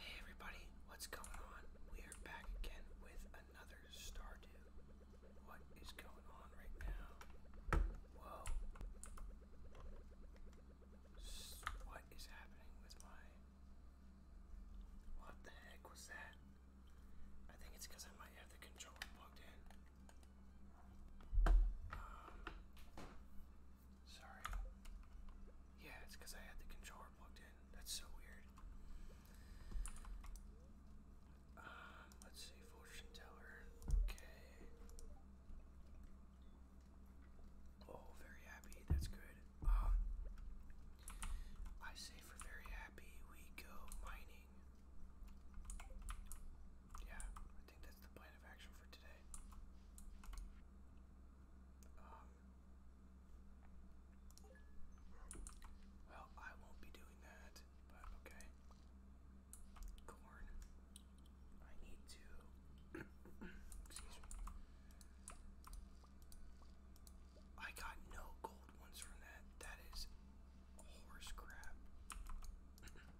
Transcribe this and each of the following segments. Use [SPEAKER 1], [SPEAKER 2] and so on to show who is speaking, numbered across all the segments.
[SPEAKER 1] Hey everybody, what's going on? We are back again with another Stardew. What is going on right now? Whoa. what is happening with my... What the heck was that? I think it's because I might have the controller plugged in. Um, Sorry. Yeah, it's because I had the controller plugged in. That's so weird. Um, let's see, fortune teller. Okay. Oh, very happy. That's good. Um, I say for very happy we go mining. Yeah, I think that's the plan of action for today. Um, well, I won't be doing that, but okay. Corn. I need to. Excuse me. I got no gold ones from that. That is horse crap.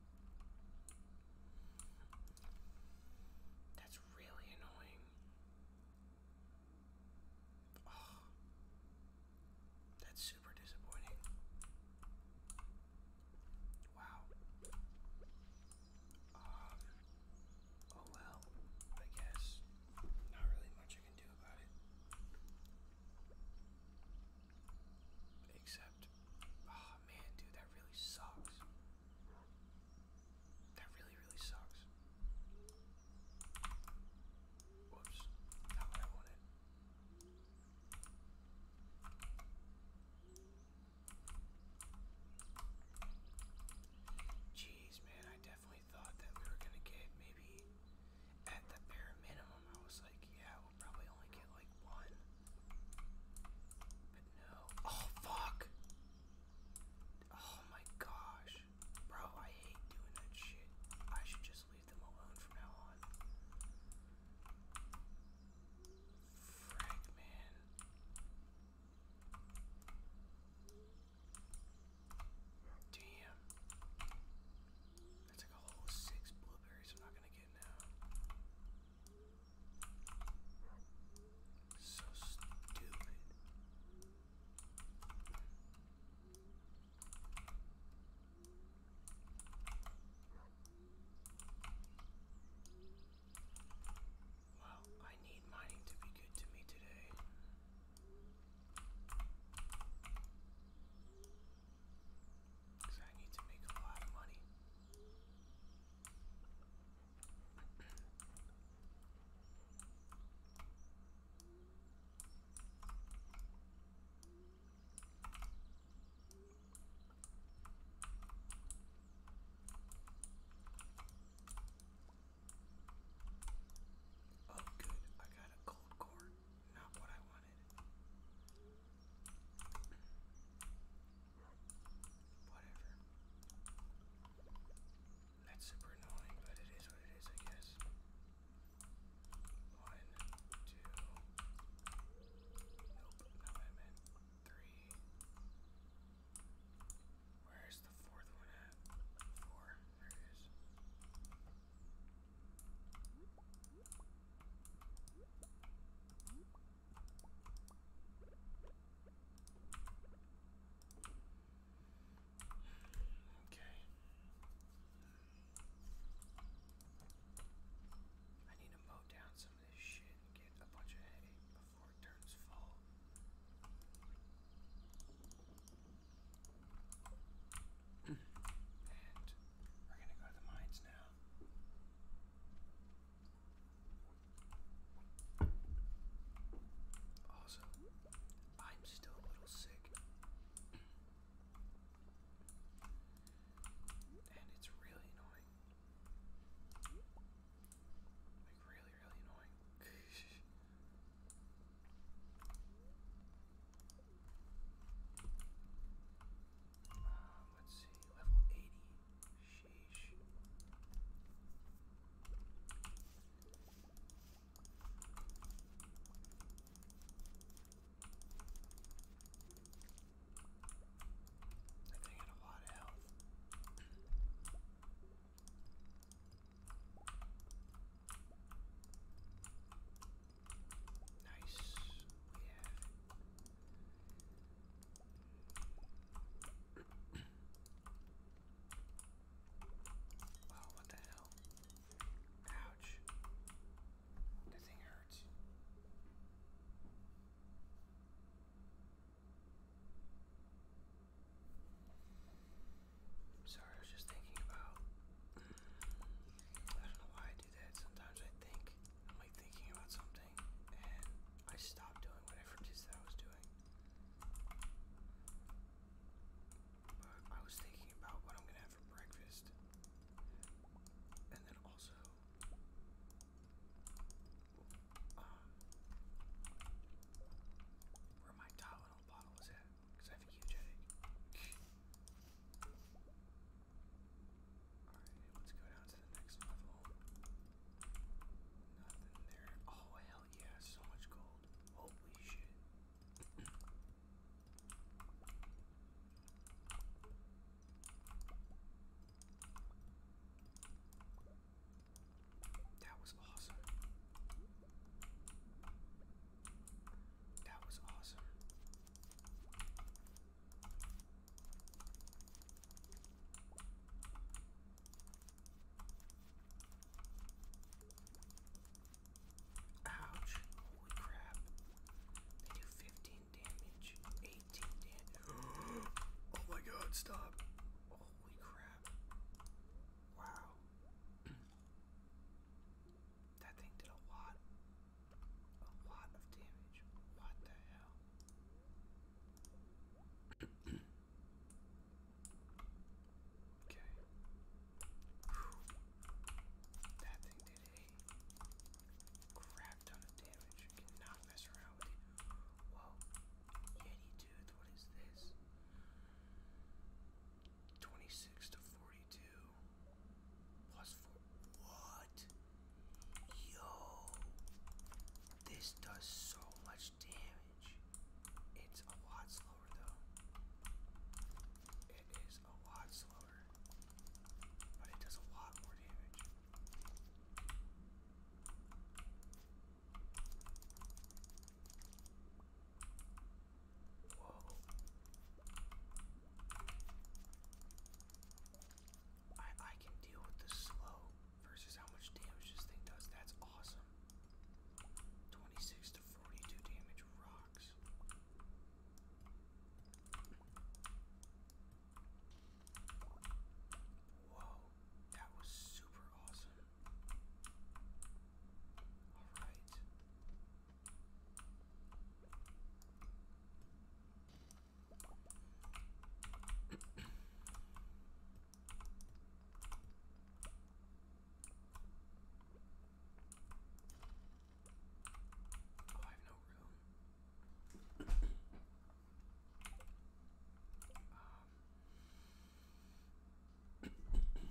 [SPEAKER 1] That's really annoying. that's super disappointing. Wow. Um, oh well, I guess not really much I can do about it. Except Oh man, dude, that really sucks. That really, really sucks. Whoops, not what I wanted. Jeez, man, I definitely thought that we were gonna get maybe at the bare minimum. I was like, yeah, we probably only get like one. But no. Oh, fuck. Oh my gosh. Bro, I hate doing that shit. I should just leave them alone from now on. Frick, man. Damn. That's like a whole six blueberries I'm not gonna get now. So stupid. Well, I need mining to be good to me today. Because I need to make a lot of money. Oh, good. I got a cold core. Not what I wanted. Whatever. That's super annoying, but it is what it is, I guess. One, two. Nope, not I meant. Three. Where's the fourth one at? Four. There it is. Okay. I need to mow down some of this shit and get a bunch of headache before it turns full. and we're gonna go to the mines now. Also, I'm still a little sick. And it's really annoying. Like, really, really annoying. Um, let's see, level 80. Sheesh. I think I a lot of health. Nice. We have what the hell? Ouch. That thing hurts. Sorry, I was just thinking about. I don't know why Sometimes I think I'm like thinking about something and I stop doing whatever it is that I was doing. I was thinking about what I'm gonna have for breakfast. And then also uh, where my Tylenol bottle was at, I have a huge headache. Alright, let's go down to the next level. Nothing there. Oh, hell yeah, so much gold. Holy shit. That was awesome. That was awesome. Ouch. Holy crap. They do 15 damage. 18 damage. oh my god, stop. Holy crap. Wow. That thing did a lot, a lot of damage. What the hell? okay. That thing did a crap ton of damage. cannot mess around with it. Whoa. Yeti dude, what is this? 26 to 42. Plus 4. What? Yo! This does so much damage. It's a lot slower, though. It is a lot slower. But it does a lot more damage. Whoa. I I can deal with the slow versus how much damage this thing does. That's awesome. 26 to 42 damage rocks. Whoa, that was super awesome. Alright. Oh, I have no room. Um, Alright, here we go. Damn.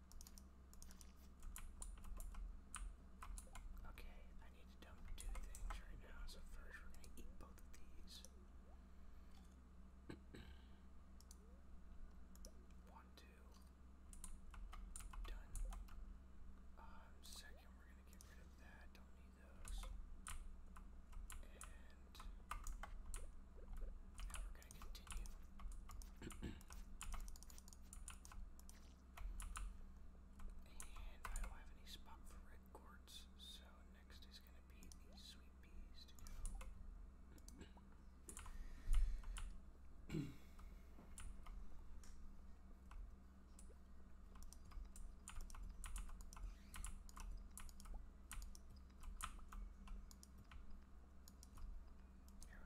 [SPEAKER 1] Okay, I need to dump two things right now. So first we're gonna eat both of these. One, two. Done. Um, second we're gonna get rid of that. Don't need those. And now gonna and I don't have any spot for red so next is gonna be the sweet peas There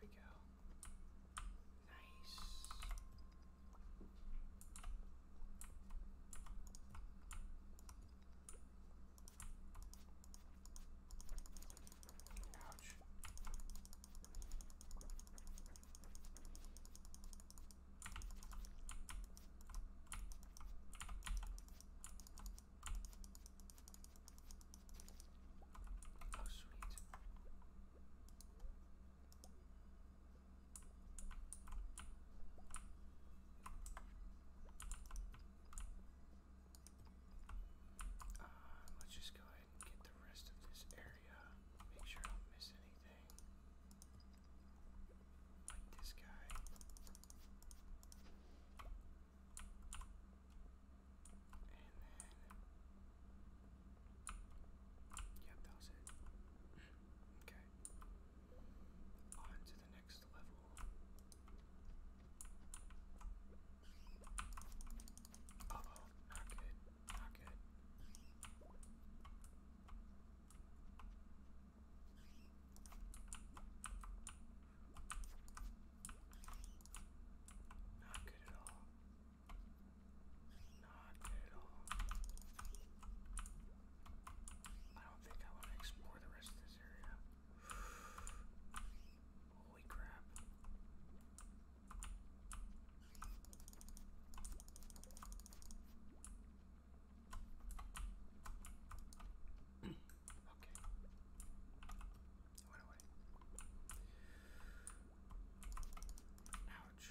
[SPEAKER 1] we go. Nice. Ouch. Oh, sweet. Uh, let's just go ahead and get the rest of this area. Make sure I don't miss anything. Like this guy. And then, yep, that was it. okay, on to the next level. oh, not good, not good. Not good at all. Not good at all. I don't think I want to explore the rest of this area. Holy crap. okay. It went away. Ouch.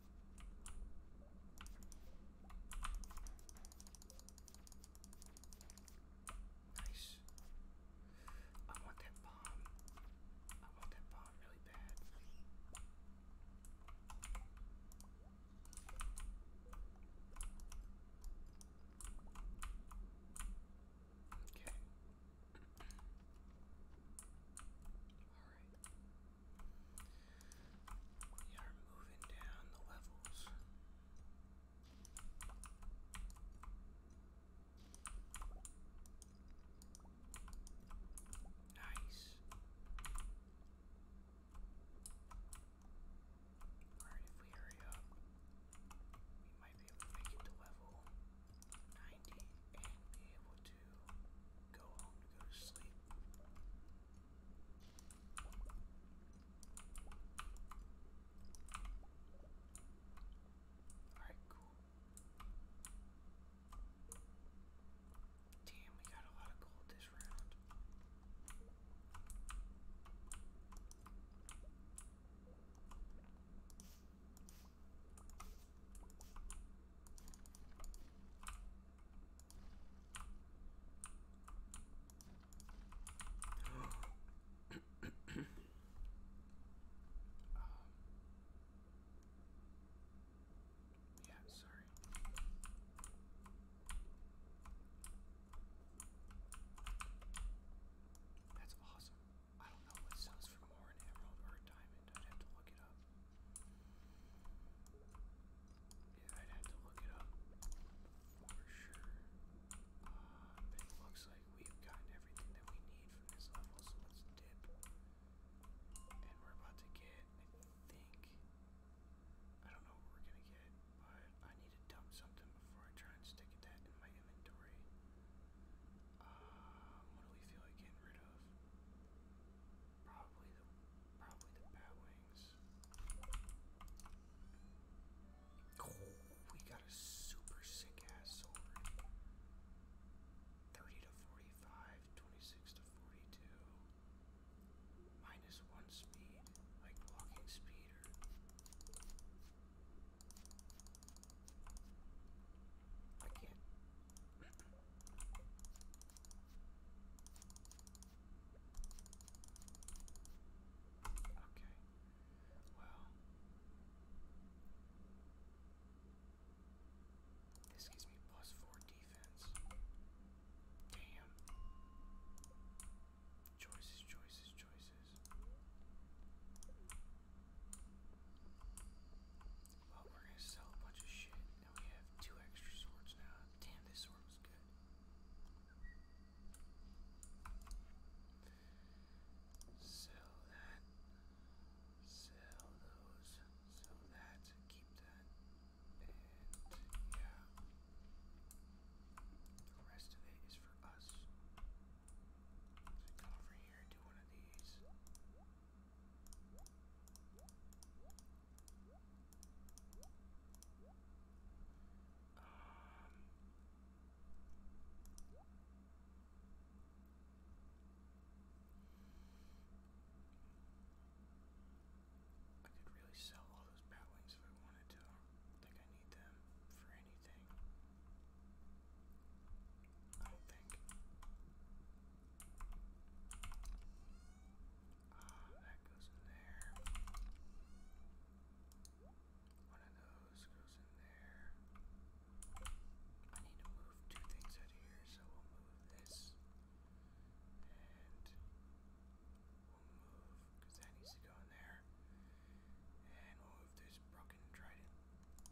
[SPEAKER 1] Nice. I want that bomb. I want that bomb really bad. Okay. All right. We are moving down the levels. Nice. Alright, if we hurry up, we might be able to make it to level 90 and be able to go home to go to sleep. Alright, cool. Damn, we got a lot of gold this um. Yeah, sorry. That's awesome. I don't know what sells for more an emerald or a diamond. I'd have to look it up. Yeah, I'd have to look it up for sure. Uh, but it looks like we've gotten everything that we need from this level, so let's dip. And we're about to get, I think, I don't know what we're gonna get, but I need to dump something before I try and stick that in my inventory. Um, what do we feel like getting rid of? Probably the probably the bat wings. Oh, we got a super sick ass sword. 30 to 45, to 42. Minus one speed, like walking speed I can Okay. Well, this gives me plus four defense. Damn. Choices, choices, choices. Well, we're gonna sell a bunch of shit. Now we have two extra swords now. Damn, this sword was good. Sell that. Sell those. Sell that. Keep that. And yeah. The rest of it is for us. come over here, do one of these. Um, I could really sell all those bat wings if I wanted to. I don't think I need them for anything. I do think. Uh, that goes in there. One of those goes in there. I need to move two things out of here, so we'll move this. And we'll move, because that needs to go in there. And we'll move this broken trident Put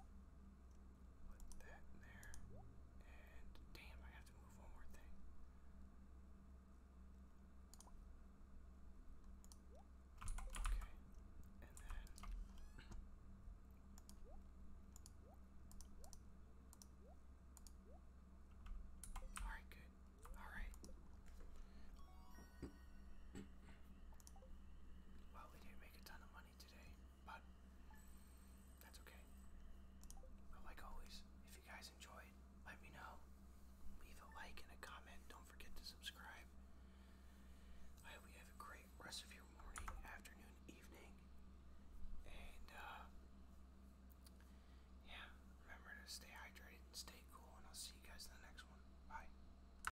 [SPEAKER 1] that there. And damn, I have to move one more thing. Okay. And then Alright, good. Alright. Well, we didn't make a ton of money today, but that's okay. like always, if you guys enjoyed, let me know. Leave a like and a comment. Don't forget to subscribe. I hope you have a great rest of your morning, afternoon, evening. And, uh, yeah, remember to stay hydrated and stay cool, and I'll see you guys in the next one. Bye.